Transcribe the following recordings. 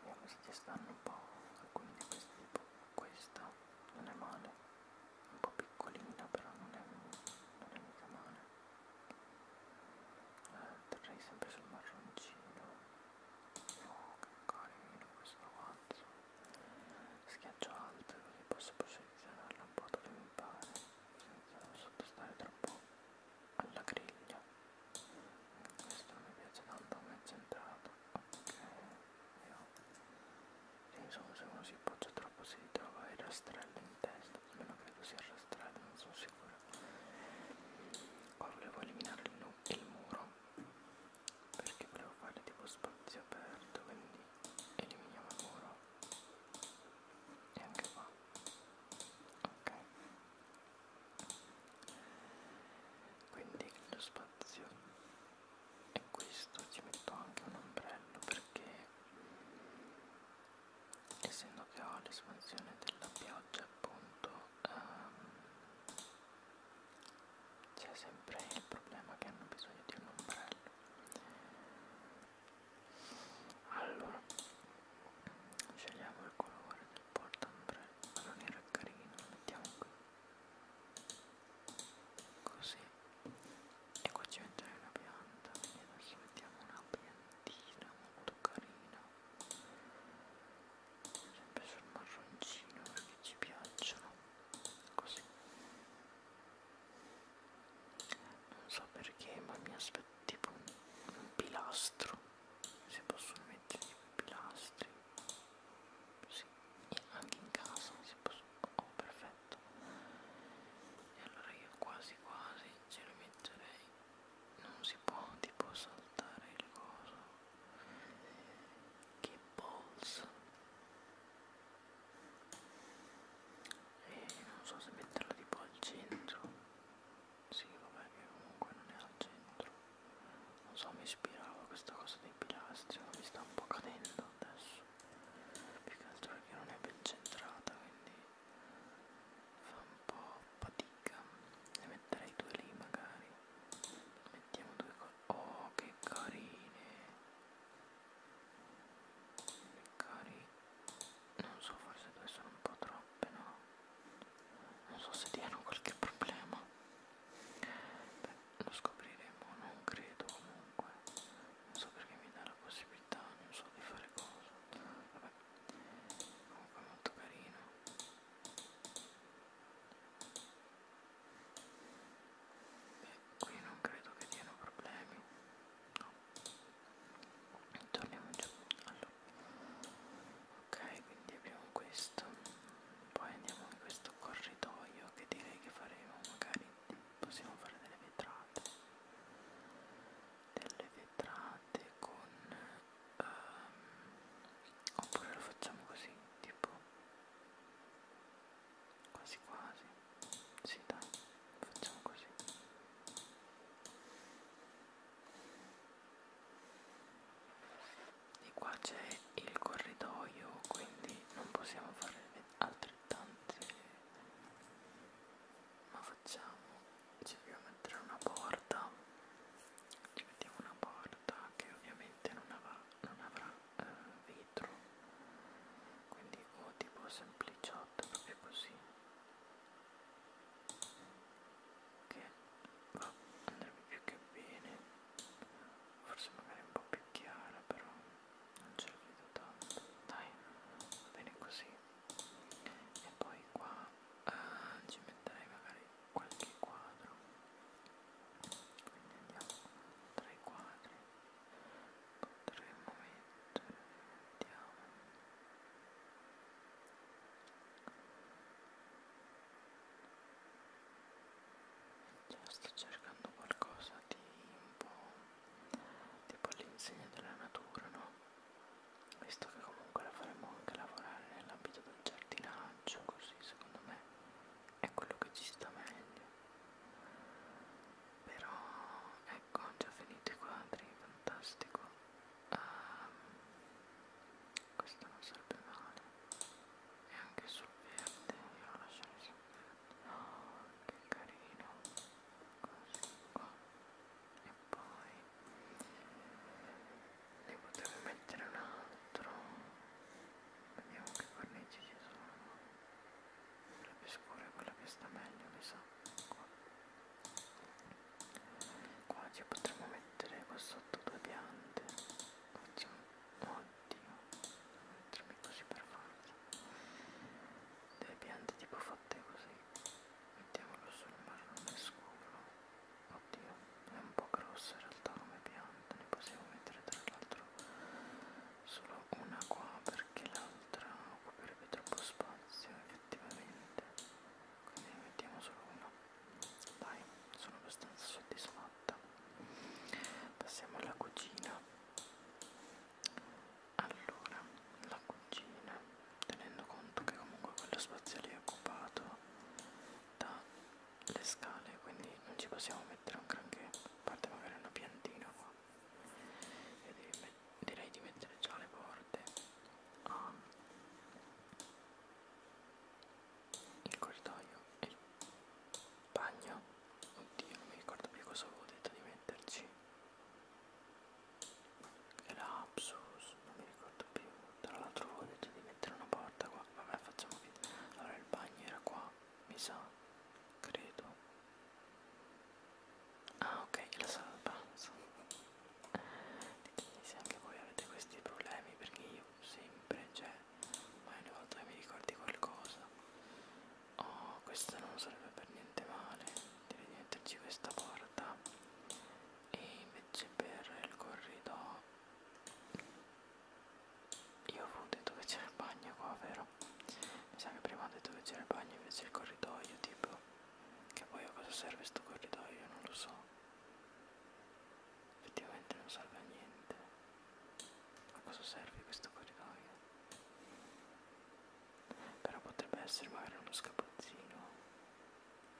Vediamo se ci stanno un po' alcuni di questi tipo questa non è male, un po' piccolina però non è, non è mica male. Eh, terrei sempre sul marroncino. Oh che carino questo avanzo. Schiaccio alto così posso posizionarla un po' dove mi pare senza sottostare troppo alla griglia questo mi piace tanto come è centrato ok io insomma se uno si appoggia troppo si trova il rastrello in testa almeno credo sia il rastrello non sono sicuro qua volevo eliminare il, nu il muro perché volevo fare tipo spazio aperto quindi eliminiamo il muro e anche qua ok quindi lo spazio è questo ci metto anche un ombrello perché essendo che ho l'espansione della pioggia appunto um, c'è sempre il problema che hanno bisogno di un ombrello allora scegliamo il colore del portaombrello ma non era carino lo mettiamo qui così e qua ci metterei una pianta quindi adesso mettiamo una piantina molto carina sempre sul marroncino perché ci piacciono così non so perché ma mi aspetto tipo un pilastro si possono mettere tipo i pilastri sì, anche in casa si possono oh perfetto e allora io quasi quasi ce lo metterei non si può tipo saltare il coso che balls e eh, non so se metterlo tipo al centro sì, vabbè che comunque non è al centro. Non so, mi ispirava questa cosa dei pilastri, ma mi sta un po' cadendo adesso. Più che altro perché non è ben centrata, quindi fa un po' fatica. Ne metterei due lì magari. Mettiamo due cose. Oh, che carine! Che carine! non so forse due sono un po' troppe no non so se diano qualche problema beh lo scopriremo non credo comunque non so perché mi dà la possibilità non so di fare cosa vabbè comunque è molto carino beh qui non credo che diano problemi no torniamo giù allora. ok quindi abbiamo questo poi andiamo in questo corridoio che direi che faremo magari possiamo fare delle vetrate delle vetrate con um, oppure lo facciamo così tipo quasi quasi si sì, dai facciamo così e qua c'è il corridoio quindi non possiamo fare altrettante ma facciamo cerchiamo di mettere una porta ci mettiamo una porta che ovviamente non avrà, non avrà eh, vetro quindi o tipo sempliciotto proprio così che va, andrebbe più che bene forse magari un po' più chiara però non ce la vedo tanto dai va bene così e poi qua ah, ci metterei magari qualche quadro quindi andiamo tra i quadri potremmo mettere vediamo cioè, sto cercando qualcosa di un po' tipo all'insegna della natura, no? Visto che comunque la faremo anche lavorare nell'ambito del giardinaggio, così secondo me è quello che ci sta meglio. Però ecco, ho già finito i quadri, fantastico uh, questo non serve male e anche sul verde io lo lascerei sul verde oh, che carino così qua e poi ne potevo mettere un altro vediamo che cornici ci sono quella più scura è quella che sta meglio mi sa qua qua ci potremmo mettere qua sotto due piante oddio mettermi così per forza due piante tipo fatte così mettiamolo sul marrone scuro oddio è un po' grossa in realtà come pianta ne possiamo mettere tra l'altro solo una qua perché l'altra occuperebbe troppo spazio effettivamente quindi ne mettiamo solo una dai sono abbastanza soddisfatta passiamo alla cucina allora la cucina tenendo conto che comunque quello spazio lì è occupato dalle scale quindi non ci possiamo mettere un granché a parte magari una piantina qua e devi direi di mettere già le porte ah. il corridoio e il bagno oddio non mi ricordo più cosa avevo detto di metterci lapsus non mi ricordo più tra l'altro avevo detto di mettere una porta qua vabbè facciamo finta allora il bagno era qua mi sa credo ah ok la sala da pranzo ditemi se anche voi avete questi problemi perché io sempre c'è cioè, ma ogni volta che mi ricordi qualcosa oh questo non sarebbe per niente male devi metterci questa porta e invece per il corridoio io avevo detto che c'era il bagno qua vero mi sa che prima ho detto che c'era il bagno invece il corridoio tipo che poi a cosa serve sto corridoio? Non lo so. Effettivamente non serve a niente. A cosa serve questo corridoio? Però potrebbe essere magari uno scapazzino.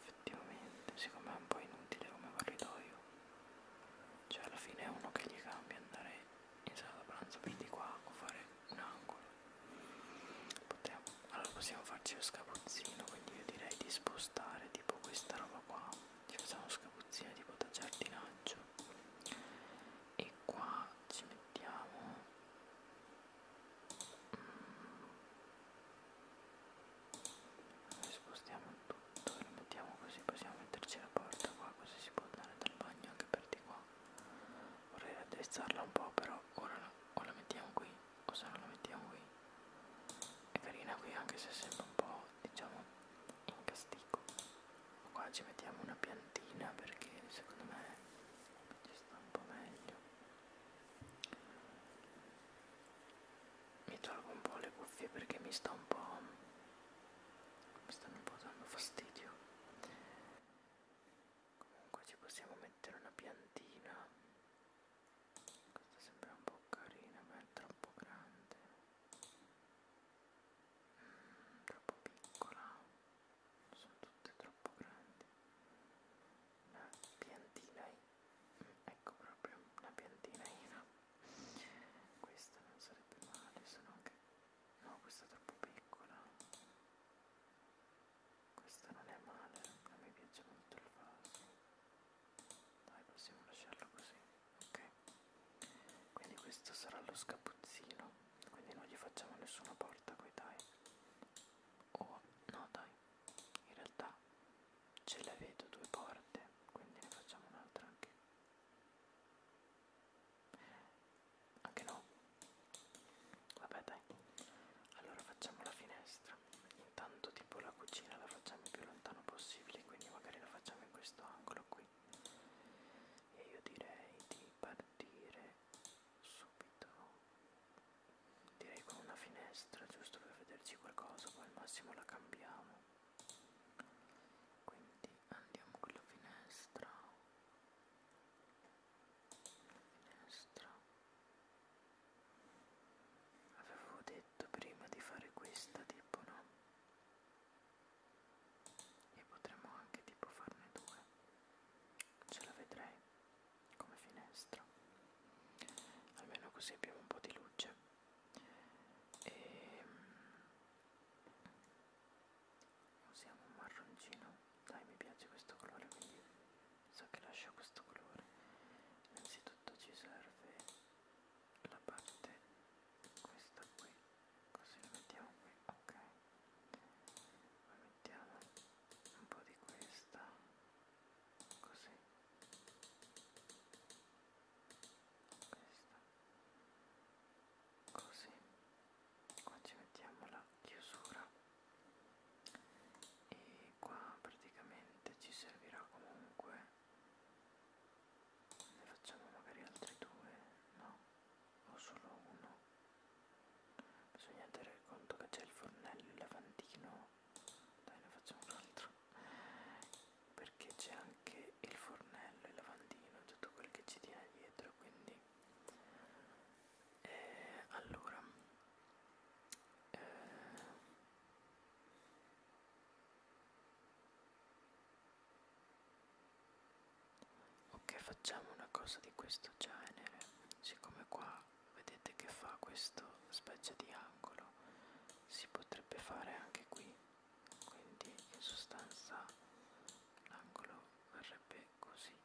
Effettivamente, siccome è un po' inutile come corridoio. Cioè alla fine è uno che gli cambia andare in sala da pranzo per di qua o fare un angolo. Potremmo, allora possiamo farci lo scapuzzino, quindi io direi di spostare tipo questa roba qua, ci facciamo lo scapuzzino tipo da giardinaggio e qua ci mettiamo mm. spostiamo tutto e lo mettiamo così, possiamo metterci la porta qua così si può andare dal bagno anche per di qua vorrei raddrizzarla un po' però ora la, o la mettiamo qui o se non la mettiamo qui è carina qui anche se sembra un po' diciamo in castigo qua ci mettiamo una piantina perché secondo me ci sta un po' meglio mi tolgo un po' le cuffie perché mi sta un po' mi stanno un po' dando fastidio comunque ci possiamo mettere una piantina questa sembra un po' carina ma è troppo grande mm, troppo piccola sono tutte troppo grandi una piantina ecco proprio una piantina questa non sarebbe male sono anche no questa è troppo piccola questo non è male, a me piace molto il vaso. Dai, possiamo lasciarlo così, ok? Quindi questo sarà lo scapuzzino, quindi non gli facciamo nessuna porta qui, dai. Oh, no, dai, in realtà ce le vedo due porte, quindi ne facciamo un'altra anche. Anche no, Vabbè dai, allora facciamo la finestra. Intanto tipo la cucina la facciamo il più lontano possibile, quindi magari la facciamo in questo angolo qui. E io direi di partire subito. Direi con una finestra, giusto per vederci qualcosa, poi al massimo la cambiamo. Quindi andiamo con la finestra. Finestra. Avevo detto prima di fare questa tipo no? E potremmo anche tipo farne due. Ce la vedrei come finestra. Almeno così abbiamo un po' di luce. E ehm, usiamo un marroncino. Dai, mi piace questo colore, quindi so che lascia questo colore innanzitutto ci serve la parte questa qui così la mettiamo qui ok poi mettiamo un po' di questa così questa così qua ci mettiamo la chiusura e qua praticamente ci servirà comunque ne facciamo magari altri due no o solo uno bisogna tenere conto che c'è il fornello il lavandino dai ne facciamo un altro perché c'è anche il fornello il lavandino tutto quel che ci tiene dietro quindi e eh, allora eh, ok facciamo una cosa di questo genere siccome qua vedete che fa questo specie di angolo si potrebbe fare anche qui quindi in sostanza l'angolo verrebbe così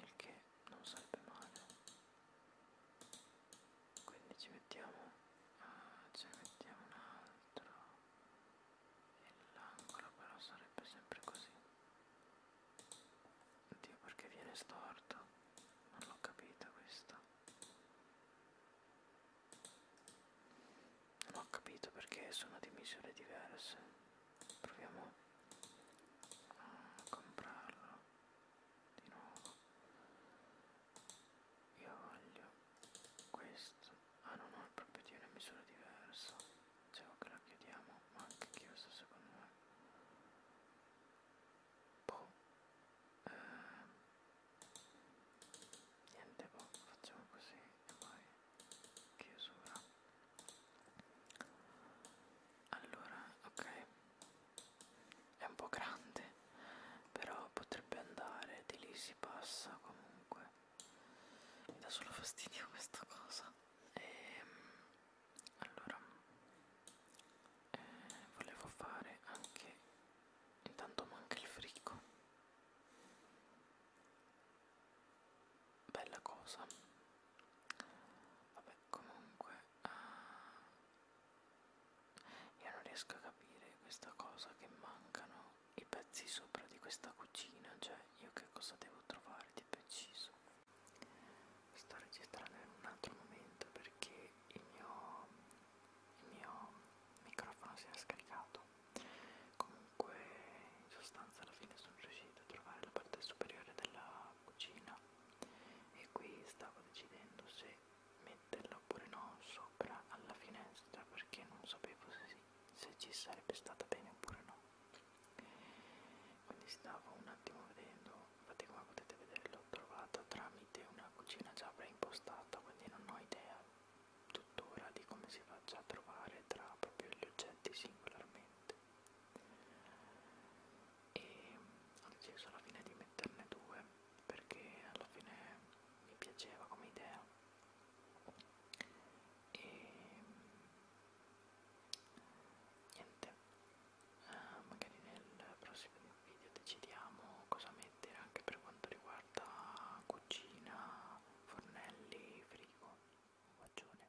il che non sarebbe male quindi ci mettiamo ah, eh, ce ne mettiamo un altro e l'angolo però sarebbe sempre così oddio perché viene storto non l'ho capita questa non ho capito perché sono di misure diverse proviamo a comprarlo di nuovo io voglio questo ah no no è proprio di una misura diversa dicevo cioè, che la chiudiamo ma anche chiusa secondo me boh ehm. niente boh facciamo così e poi chiusura allora ok è un po' grande però potrebbe andare di lì si passa comunque mi dà solo fastidio questa cosa e, ehm, allora eh, volevo fare anche intanto manca il frigo bella cosa vabbè comunque uh, io non riesco a capire questa cosa che mancano i pezzi sopra di questa cucina cioè io che cosa devo trovare di preciso sto registrando in un altro momento perché il mio, il mio microfono si è scaricato comunque in sostanza alla fine sono riuscito a trovare la parte superiore della cucina e qui stavo decidendo se metterla oppure no sopra alla finestra perché non sapevo se, se ci sarebbe stata bene oppure no quindi stavo un attimo vedendo infatti come potete vedere l'ho trovata tramite una cucina già preimpostata quindi non ho idea tuttora di come si faccia a trovare tra proprio gli oggetti singolarmente e ho deciso alla fine di metterne due perché alla fine mi piaceva come idea e niente eh, magari nel prossimo video decidiamo cosa mettere anche per quanto riguarda cucina fornelli frigo un bacione